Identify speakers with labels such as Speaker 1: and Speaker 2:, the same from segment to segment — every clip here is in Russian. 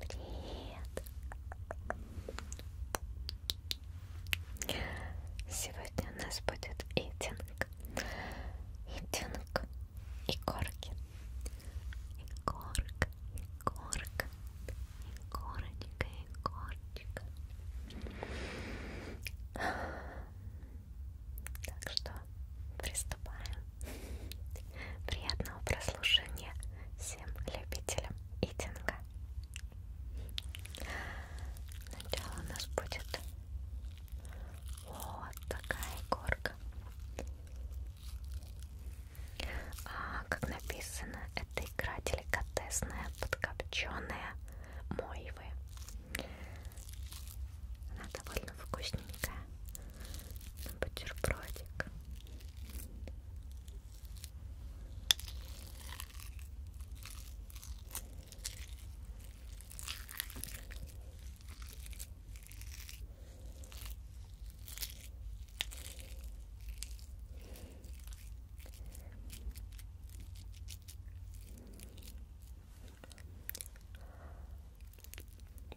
Speaker 1: Привет! Сегодня у нас будет итинг. Итинг и горки. И горка, и горка, и горочка, и горочка. Так что приступаем. Приятного прослушивания всем любителям итинга. Сначала у нас будет вот такая горка. А, как написано, это игра деликатесная, подкопченая, моевая. Она довольно вкусненькая на бутербродик.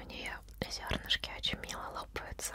Speaker 1: У нее зернышки очень мило лопаются.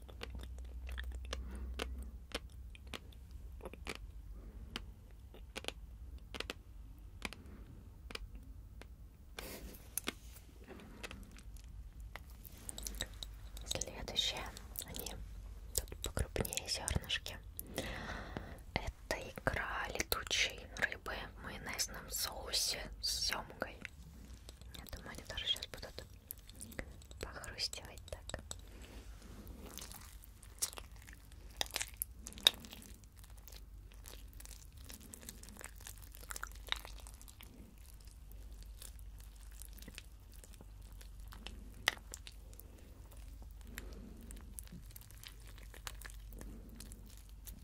Speaker 1: Следующее, они тут покрупнее зернышки. Это икра летучей рыбы в майонезном соусе с семгой. Я думаю, они тоже сейчас будут похрустивать так.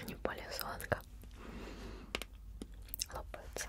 Speaker 1: Они более сладко лопаются.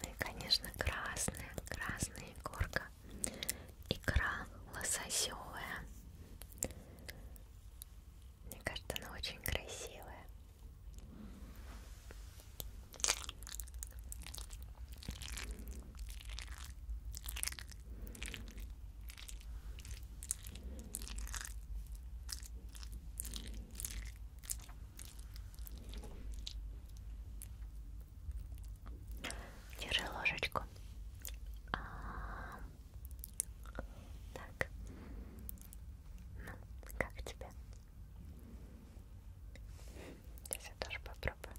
Speaker 1: Ну и, конечно, красная, красная горка. Икра лососевая. Мне кажется, она очень красивая. Держи ложечку. А -а -а. Так. Ну, как тебе? Сейчас я тоже попробую.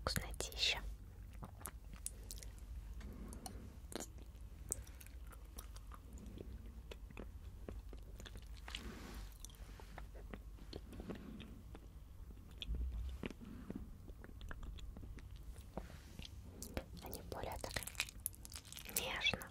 Speaker 1: Вкуснотища. Они более так нежно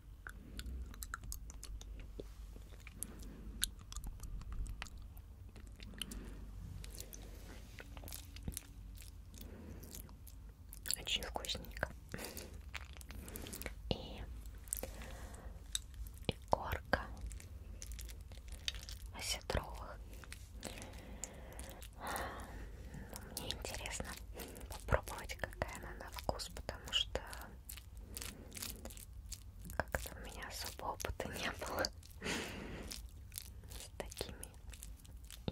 Speaker 1: Очень вкусненько. И горка оседровых. Мне интересно попробовать, какая она на вкус, потому что как-то у меня особо опыта не было с такими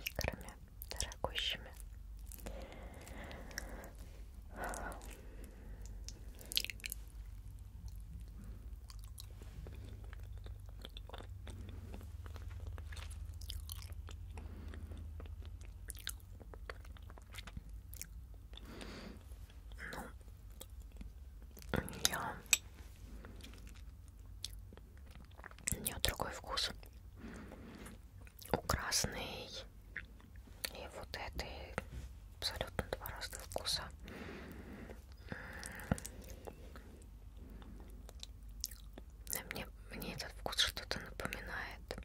Speaker 1: играми дорогущими. Ну, у нее, у нее другой вкус. У красной и вот этой абсолютно два разных вкуса. Мне, мне этот вкус что-то напоминает.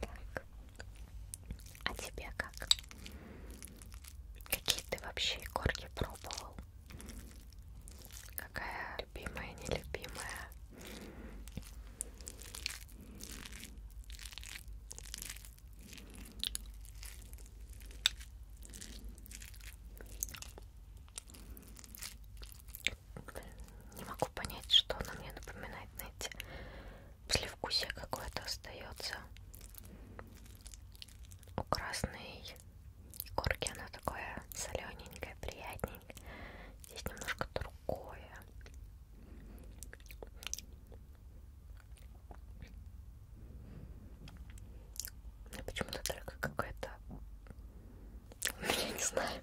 Speaker 1: Так. А тебе как? Какие ты вообще корки пробовал? Какая любимая, нелюбимая? Не могу понять, что она мне напоминает, знаете, послевкусие какое-то остается. У красной корки она такое солененькое, приятненькое. Здесь немножко другое. Почему-то только какое-то... Я не знаю.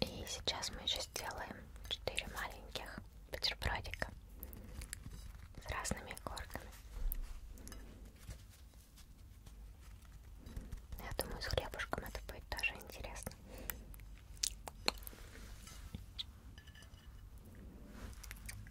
Speaker 1: И сейчас мы еще сделаем 4 маленьких бутербродика с разными горками. Я думаю, с хлебушком это будет тоже интересно.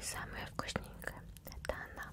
Speaker 1: Самая вкусненькая это она.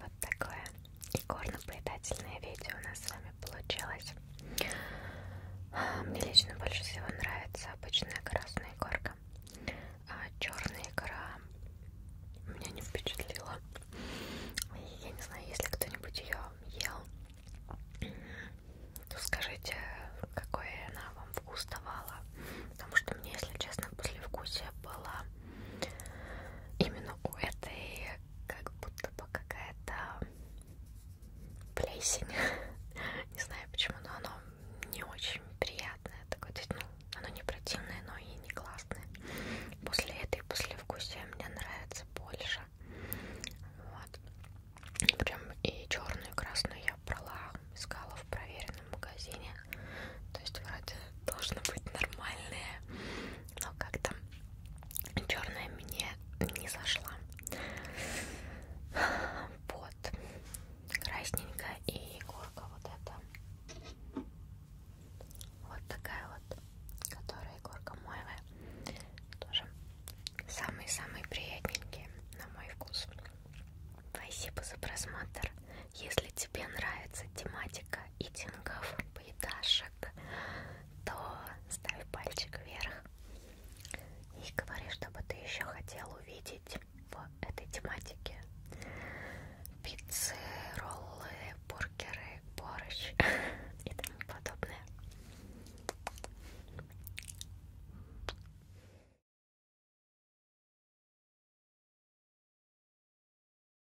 Speaker 1: Вот такое икорно-поедательное видео у нас с вами получилось. А, мне лично больше всего нравится обычная красная икорка, а черная икра меня не впечатлила. Я не знаю, если кто-нибудь ее ел, то скажите, какой она вам вкус давала. Потому что мне, если честно, послевкусие было именно у этой как будто бы какая-то плесень. не знаю почему, но оно не очень приятное. Такое, то есть, ну, оно не противное, но и не классное. После этой послевкусия мне нравится больше. Вот. Прям и черную, и красную я брала, искала в проверенном магазине. То есть вроде должны быть нормальные но как-то черная мне не зашла. Вот красненькая и горка вот эта. Вот такая вот, которая горка моевая. Тоже самые-самые приятненькие на мой вкус. Спасибо за просмотр. Если тебе нравится тематика итингов, поедашек, то ставь пальчик вверх и говори, что бы ты еще хотел увидеть в этой тематике. Пиццы, роллы, бургеры, борщ и тому подобное.